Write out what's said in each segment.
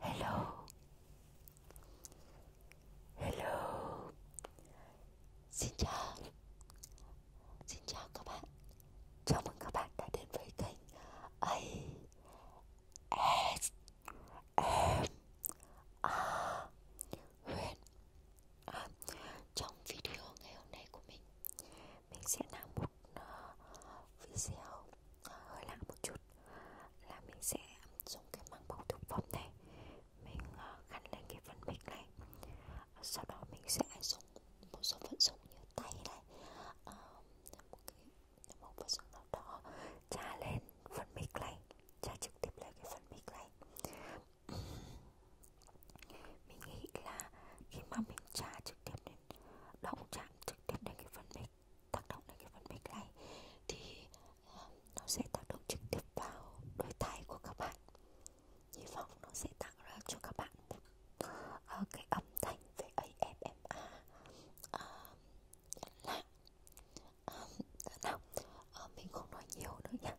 Hello. Hello. Xin chào. Xin chào các bạn. Chào mừng các bạn đã đến với kênh A S M A Huyền à, trong video ngày hôm nay của mình mình sẽ làm một uh, video uh, hơi lạ một chút là mình sẽ dùng cái măng bầu thực phẩm này mình uh, gắn lên cái phần mic này ờ, sau đó mình sẽ dùng một số vật dụng như tay này uh, một cái một vật dụng nào đó trà lên phần mic này trà trực tiếp lên cái phần mic này mình nghĩ là khi mà mình trả trực tiếp đến động chạm trực tiếp đến cái phần mic tác động đến cái phần mic này thì ờ, nó sẽ tác động trực tiếp vào đôi tai của các bạn hy vọng nó sẽ tạo ra cho các bạn một uh, cái âm thanh về ASMR uh, là um, nào à, mình không nói nhiều nữa nhé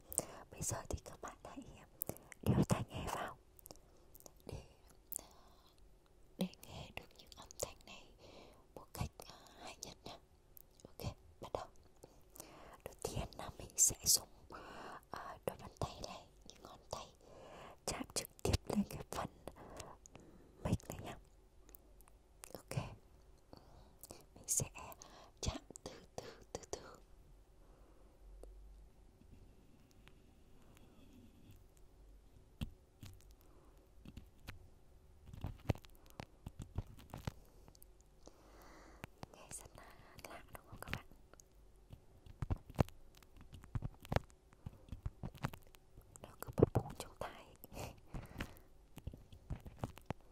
bây giờ thì các bạn hãy ờ, đeo tai nghe vào để để nghe được những âm thanh này một cách uh, hay nhất nhé ok bắt đầu đầu tiên là mình sẽ dùng uh, đôi bàn tay này những ngón tay chạm trực tiếp lên cái phần mic này nhé ok mình sẽ chạm từ từ từ từ nghe rất là lạ đúng không các bạn nó cứ bập bùng trong tai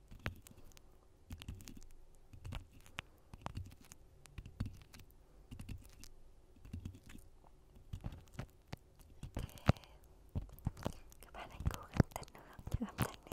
các bạn hãy cố gắng tận hưởng những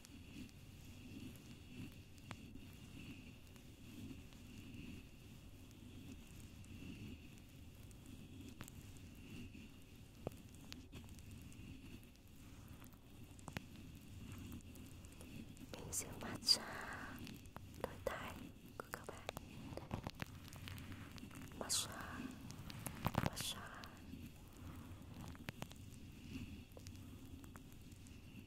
Mình sẽ massage đôi tay của các bạn Massage Massage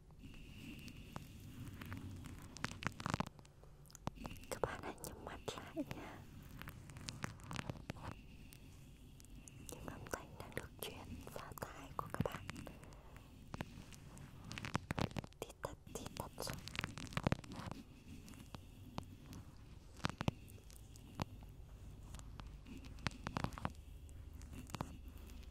các bạn hãy nhắm mắt lại nha những âm thanh đang được truyền vào tai của các bạn thì thật thì thật rồi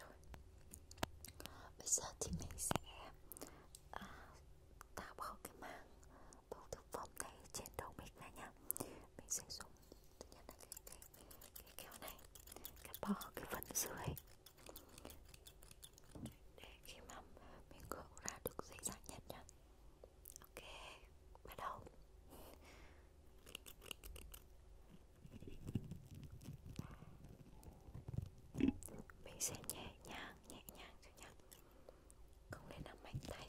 Rồi Bây giờ thì mình sẽ à, tạo bỏ cái màng bầu thực phẩm này trên đầu mình này nha Mình sẽ dùng thứ nhất là cái, cái, cái kéo này Cắt bỏ cái phần dưới Để khi mà mình gỡ ra được dễ dàng nhất nha Ok, bắt đầu mình sẽ nhẹ nhàng, nhẹ nhàng thôi nhá Không nên làm mạnh tay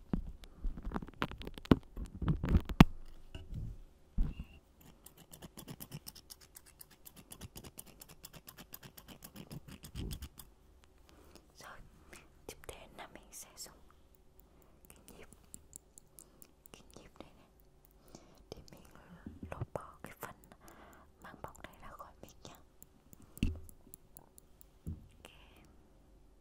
Rồi, tiếp đến là mình sẽ dùng cái nhịp Cái nhịp này này Để mình lột bỏ cái phần mang bọc này ra khỏi mình nhé Okay.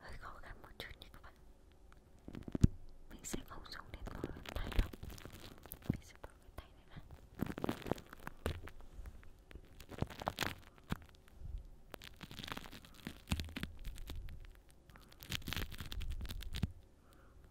Hơi khó khăn một chút nha các bạn Mình sẽ không dùng đến một tay đâu Mình sẽ bỏ cái tay này ra Đấy,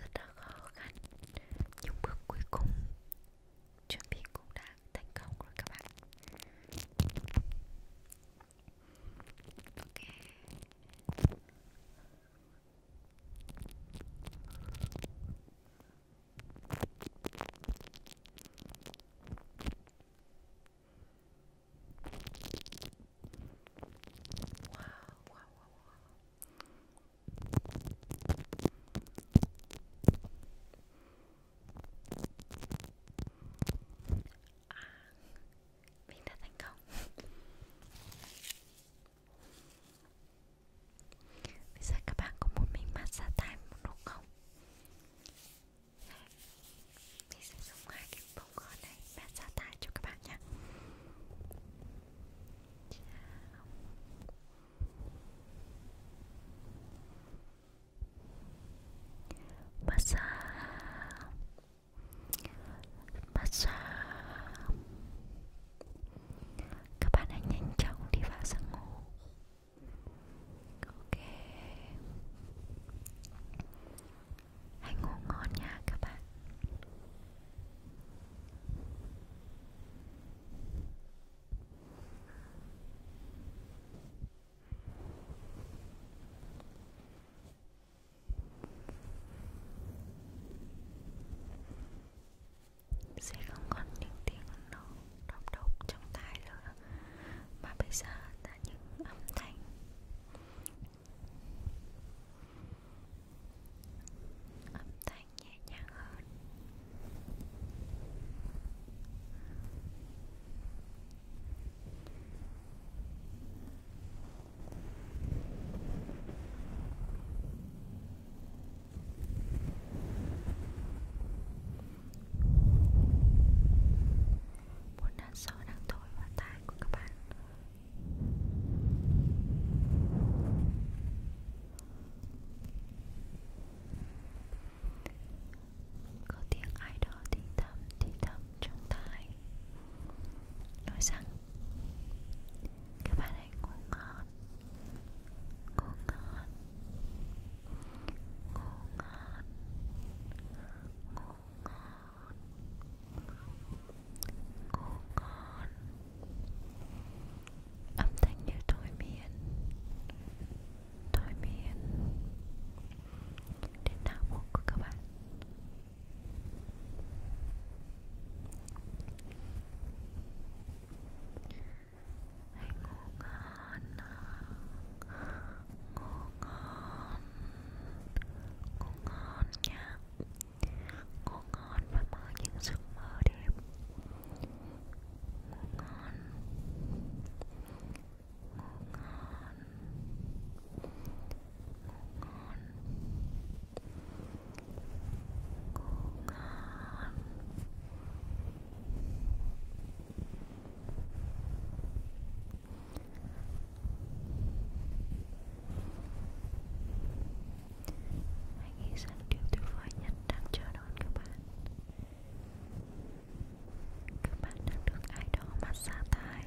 Rất là khó khăn Nhưng bước cuối cùng Chuẩn bị cũng đã thành công rồi các bạn Ok wow, wow, wow. À, mình đã thành công Bây giờ các bạn có muốn mình massage tay một lúc không? Mình sẽ dùng hai cái bông gòn này Bạn ra tải cho các bạn nhé Massage Massage Các bạn hãy nhanh chóng đi vào giấc ngủ Ok Hãy ngủ ngon nha các bạn sẽ không còn những tiếng nó đọc đọc trong tai nữa mà bây giờ là những âm thanh âm thanh nhẹ nhàng hơn một đàn gió đang thổi vào tai của các bạn Có tiếng ai đó thì thầm thì thầm trong tai Nói rằng Các bạn hãy ngủ ngon Ngủ ngon Ngủ ngon Ngủ ngon Ngủ ngon Âm thanh như thôi miên Thôi miên Đến não bộ của các bạn Hãy ngủ ngon Ngủ ngon Ngủ ngon nha Ngủ ngon và mơ những giấc mơ đẹp Ngủ ngon Ngủ ngon Ngủ ngon Ngủ ngon Hãy nghĩ rằng điều tuyệt vời nhất đang chờ đón các bạn Các bạn đang được ai đó massage tai